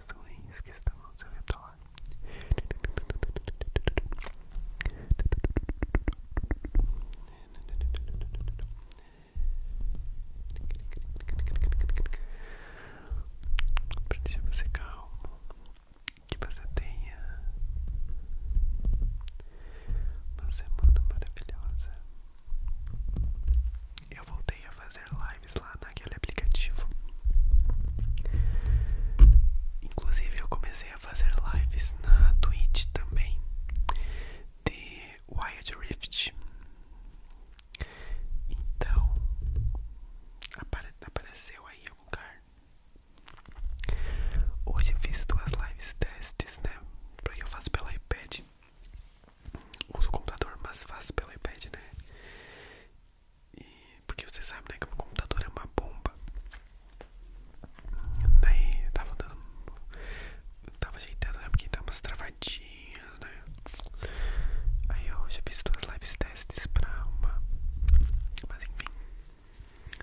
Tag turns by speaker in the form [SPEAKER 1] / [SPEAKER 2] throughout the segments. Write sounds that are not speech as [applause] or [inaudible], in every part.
[SPEAKER 1] coisas ruins que estão ao seu redor. Pra você calmo, que você tenha uma semana maravilhosa eu voltei a fazer lives lá naquele aplicativo. Inclusive, eu comecei a fazer lives na Twitch também de Wild Rift. Então, apare apareceu aí em algum lugar. Hoje eu fiz duas lives testes, né? que eu faça pela iPad uso o computador, mais fácil pelo iPad, né? E porque você sabe, né, que o computador é uma bomba. Daí tava dando. Eu tava ajeitando, né? Porque dá umas travadinhas, né? Aí eu já fiz duas lives testes pra uma. Mas enfim.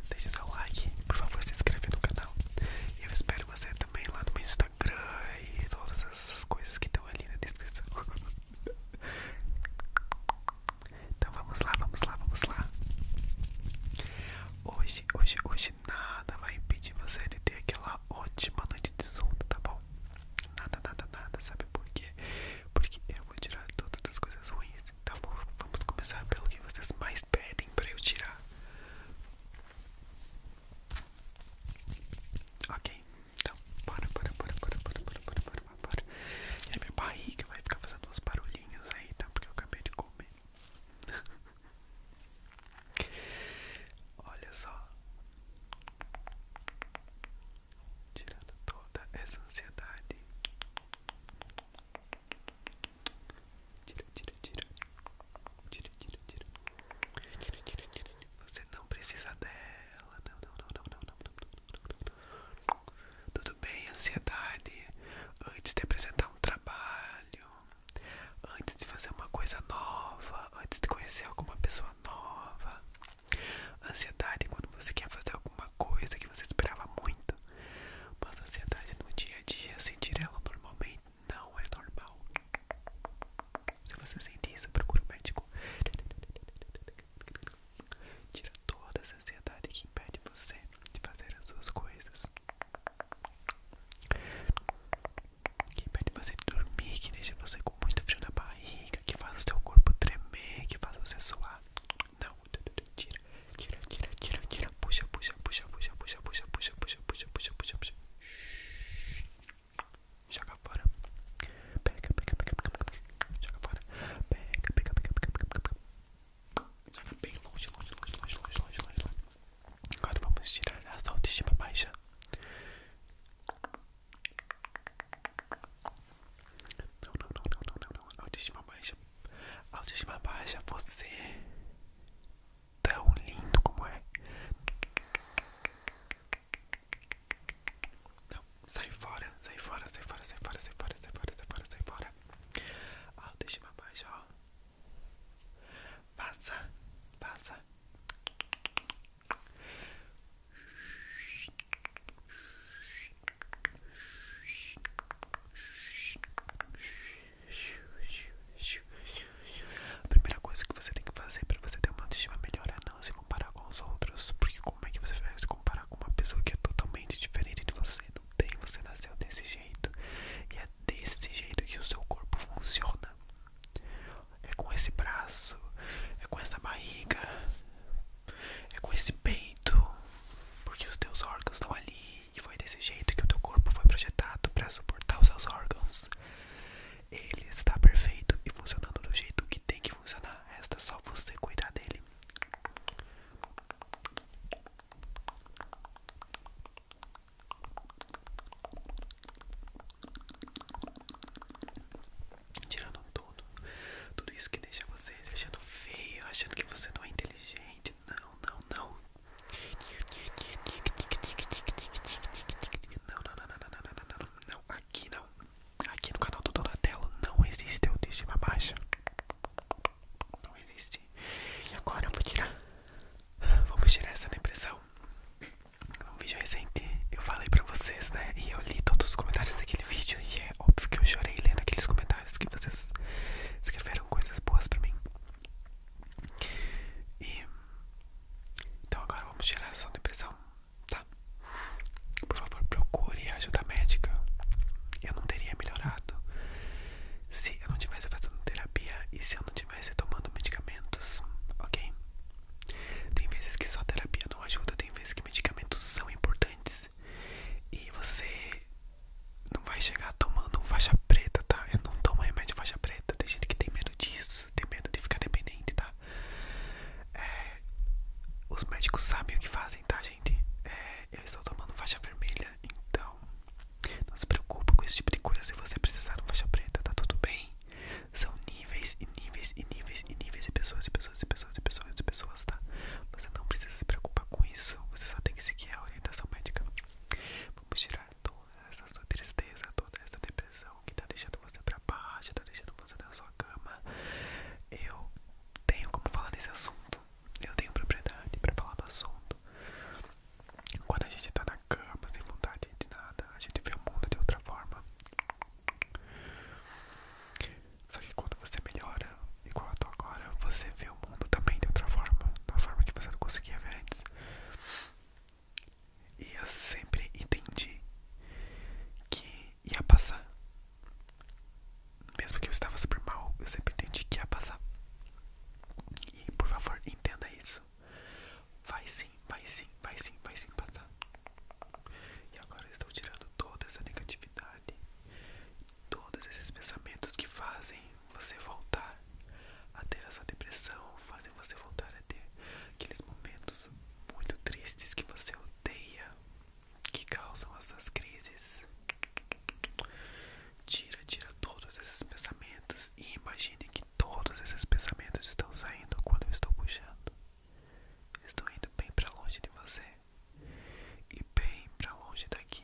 [SPEAKER 1] Deixe seu like, por favor, se inscreve no canal. E eu espero você também lá no meu Instagram. Instagram e todas essas coisas que estão ali na descrição. [laughs] então vamos lá, vamos lá, vamos lá. Hoje, hoje, hoje nada vai impedir você de ter aquela ótima noite de sono, tá bom? Nada, nada, nada, sabe por quê? Porque eu vou tirar todas as coisas ruins. Então vamos, vamos começar pelo que vocês mais pedem pra eu tirar. Ok, então bora, bora, bora, bora, bora, bora, bora, bora, bora. É minha barriga vai ficar fazendo uns barulhinhos aí, tá? Porque eu acabei de comer. [laughs] Olha só. Tirando toda essa ansiedade. Tira, tira, tira. Tira, tira, tira. Você não precisa dela. Tudo bem, ansiedade. Antes de apresentar um trabalho, antes de fazer uma coisa nova, antes de conhecer alguma pessoa nova. Ansiedade é quando você quer fazer alguma coisa que você esperava muito. Mas ansiedade no dia a dia, sentir ela normalmente não é normal. Se você sente isso, procura um médico. Tira toda essa ansiedade que impede você de fazer as suas coisas. Que impede você de dormir, que deixa você com muito frio na barriga, que faz o seu corpo tremer, que faz você suar. Não, tira, tira, tira, tira, tira. Puxa, puxa, puxa, puxa, puxa, puxa, puxa, puxa, puxa, puxa, puxa, puxa joga fora. Pega, pega, pega, pega, pega, joga fora. Pega, pega, pega, pega, pega, pega. Joga bem longe, longe, longe, longe, longe, longe, longe. Agora vamos tirar a sua autoestima baixa. Não, não, não, não, não, não, não. Autoestima baixa. Autoestima baixa, você tão lindo como é. Não, sai fora, sai fora, sai fora, sai fora, sai fora, sai fora, sai fora, sai fora. Autoestima ah, baixa, ó. Passa, passa. A primeira coisa que você tem que fazer para você ter uma autoestima melhor é não se comparar com os outros, porque como é que você vai se comparar com uma pessoa que é totalmente diferente de você? Não tem, você nasceu desse jeito e é desse jeito que o seu corpo funciona. É com esse braço, é com essa barriga, é com esse peito, porque os teus órgãos estão ali e foi desse jeito que o teu corpo foi projetado para suportar os seus órgãos. Ele está perfeito e funcionando do jeito que tem que funcionar. Resta só você cuidar dele. Tirando tudo, tudo isso que deixa você se achando feio, achando que você não é inteligente. Não, não, não. Não, não, não, não, não, não, não, não, aqui não. Aqui no canal do Donatello não existe uma baixa. Não existe. E agora eu vou tirar. Vamos tirar essa impressão Num vídeo recente eu falei pra vocês, né? E eu li todos os comentários daquele vídeo. E é óbvio que eu chorei lendo aqueles comentários que vocês escreveram coisas boas pra mim. E então agora vamos tirar a sua depressão, tá? Por favor, procure ajuda médica. Eu não teria melhorado se eu não tivesse fazendo terapia e se eu não tivesse tomando medicamentos, ok? Tem vezes que só terapia não ajuda, tem vezes que medicamentos são importantes e você não vai chegar tomando um faixa preta, tá? Eu não tomo remédio faixa preta, tem gente que tem medo disso isso, tem medo de ficar dependente, tá? É, os médicos sabem o que fazem, tá, gente? É, eu estou tomando faixa vermelha, então não se preocupe com esse tipo de coisa se você precisar de uma faixa preta, tá tudo bem? São níveis e níveis e níveis e níveis de pessoas e pessoas e pessoas e pessoas e pessoas, tá? Você não precisa se preocupar com isso, você só tem que seguir a orientação médica. Vamos girar toda essa sua tristeza, toda essa depressão que tá deixando você pra baixo, tá deixando você na sua cama. Eu tenho como falar desse assunto. Eu tenho propriedade pra falar do assunto. Quando a gente tá na cama, sem vontade de nada, a gente vê o mundo de outra forma. Só que quando você melhora, igual eu tô agora, você vê o mundo também de outra forma, da forma que você não conseguia ver antes. E eu sempre entendi que ia passar. Mesmo que eu estava super mal, eu sempre entendi que ia passar. E por favor, entenda isso. Vai sim, vai sim, vai sim, vai sim passar. E agora estou tirando toda essa negatividade, todos esses pensamentos que fazem você voltar a ter a sua depressão, fazem você voltar a ter aqueles momentos muito tristes que você odeia, que causam essas crises. Tira, tira todos esses pensamentos e imagine que todos esses pensamentos estão saindo quando eu estou puxando. Estão indo bem para longe de você e bem para longe daqui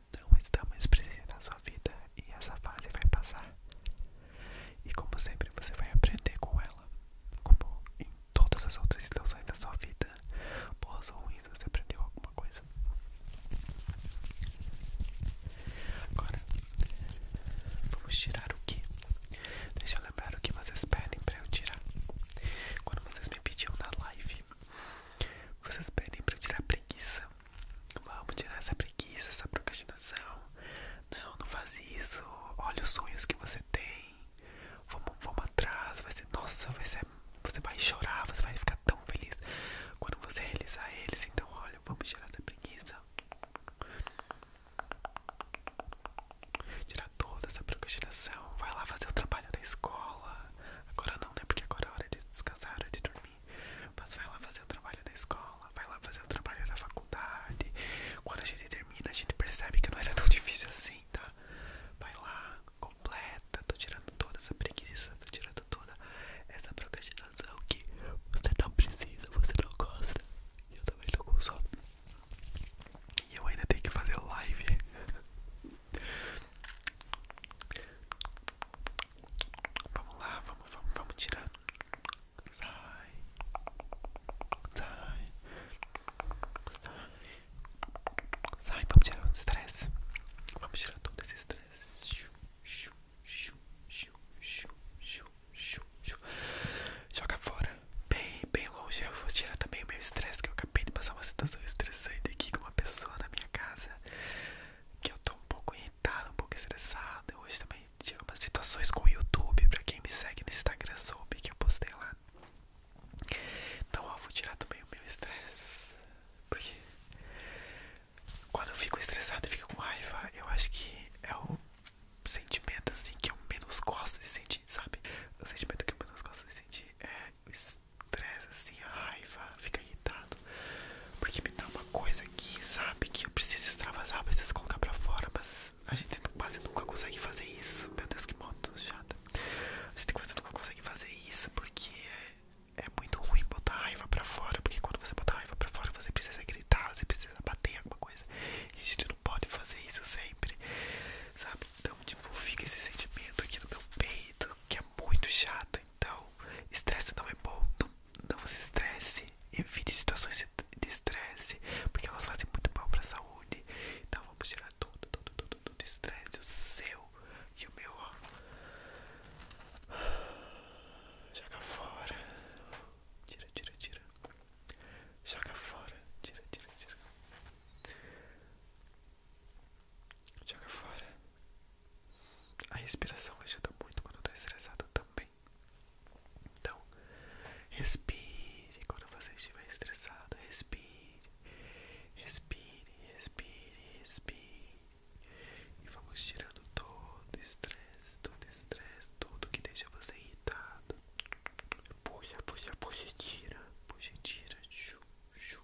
[SPEAKER 1] não está mais presente na sua vida e essa fase vai passar. E como sempre, você vai aprender com ela, como em todas as outras situações da sua vida, boas ou ruins, você aprendeu alguma coisa. Agora, vamos tirar o que? Deixa eu lembrar o que vocês pedem para eu tirar. Quando vocês me pediam na live, vocês pedem para eu tirar preguiça. Vamos tirar essa preguiça, essa procrastinação. Não, não faz isso. Olha os sonhos que você tem. Vamos, vamos atrás. Vai ser, nossa, vai ser, você vai chorar, você vai ficar tão feliz quando você realizar eles. Então, olha, vamos tirar essa preguiça. Tirar toda essa procrastinação. Vai lá fazer o trabalho da escola. Agora não, né? Porque agora é hora de descansar, hora de dormir. Mas vai lá fazer o trabalho da escola, vai lá fazer o trabalho da faculdade. Quando a gente termina, a gente percebe que não era tão difícil assim, tá? Vai lá, completa. Tô tirando toda essa preguiça, tô tirando toda essa procrastinação que você não precisa, você não gosta. E eu também tô com sono. E eu ainda tenho que fazer live. Vamos lá, vamos, vamos, vamos tirar. Sai. Sai. Sai. Sai, vamos tirar o estresse. Vamos tirar todo esse estresse. Joga fora. Bem, bem longe. Eu vou tirar também o meu estresse, que eu acabei de passar uma situação estressante aqui com uma pessoa na minha casa que eu tô um pouco irritado, um pouco estressado. Hoje também tive umas situações com o YouTube. Pra quem me segue no Instagram soube que eu postei lá. Então, ó, vou tirar também o meu estresse. Porque quando eu fico estressado e fico com raiva, eu acho que é o sentimento assim que eu menos gosto de sentir, sabe? O sentimento que eu menos gosto de sentir é o estresse estressa, assim, a raiva, fica irritado. Porque me dá uma coisa aqui, sabe? Que eu preciso extravasar, preciso colocar pra fora, mas a gente quase nunca consegue fazer isso. Meu Deus, que moto chata. A gente quase nunca consegue fazer isso porque é muito ruim botar a raiva pra fora. Porque quando você botar a raiva pra fora, você precisa gritar, você precisa bater alguma coisa. E a gente não pode fazer isso sempre, sabe? Então, tipo, fica esse sentimento aqui no meu peito que é muito chato. Então, estresse não é bom. Não, não se estresse. Evite situações de estresse, porque elas fazem muito mal para a saúde. Então, vamos tirar tudo, tudo, tudo, tudo estresse. O seu e o meu, ó. Joga fora. Tira, tira, tira. Joga fora. Tira, tira, tira. Joga fora. A respiração ajuda muito quando está estressado também. Então, respire quando você estiver estressado. Respire, respire, respire, respire. E vamos tirando todo o estresse, todo o estresse, tudo que deixa você irritado. Puxa, puxa, puxa, tira, puxa, tira. Chu, chu,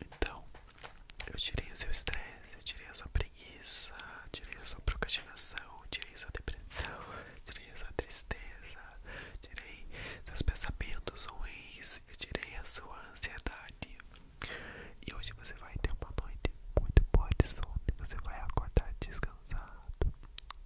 [SPEAKER 1] Então, eu tirei o seu estresse, eu tirei a sua preguiça, tirei a sua procrastinação, tirei a sua depressão, [laughs] tirei a sua tristeza, tirei seus pensamentos ruins, eu tirei a sua ansiedade. E hoje você vai ter uma noite muito boa de sono, você vai acordar descansado,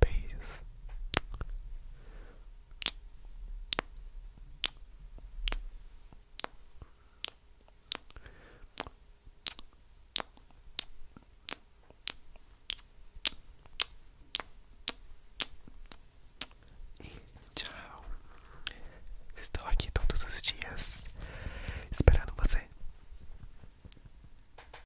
[SPEAKER 1] Beijos. E tchau. Estou aqui todos os dias esperando você.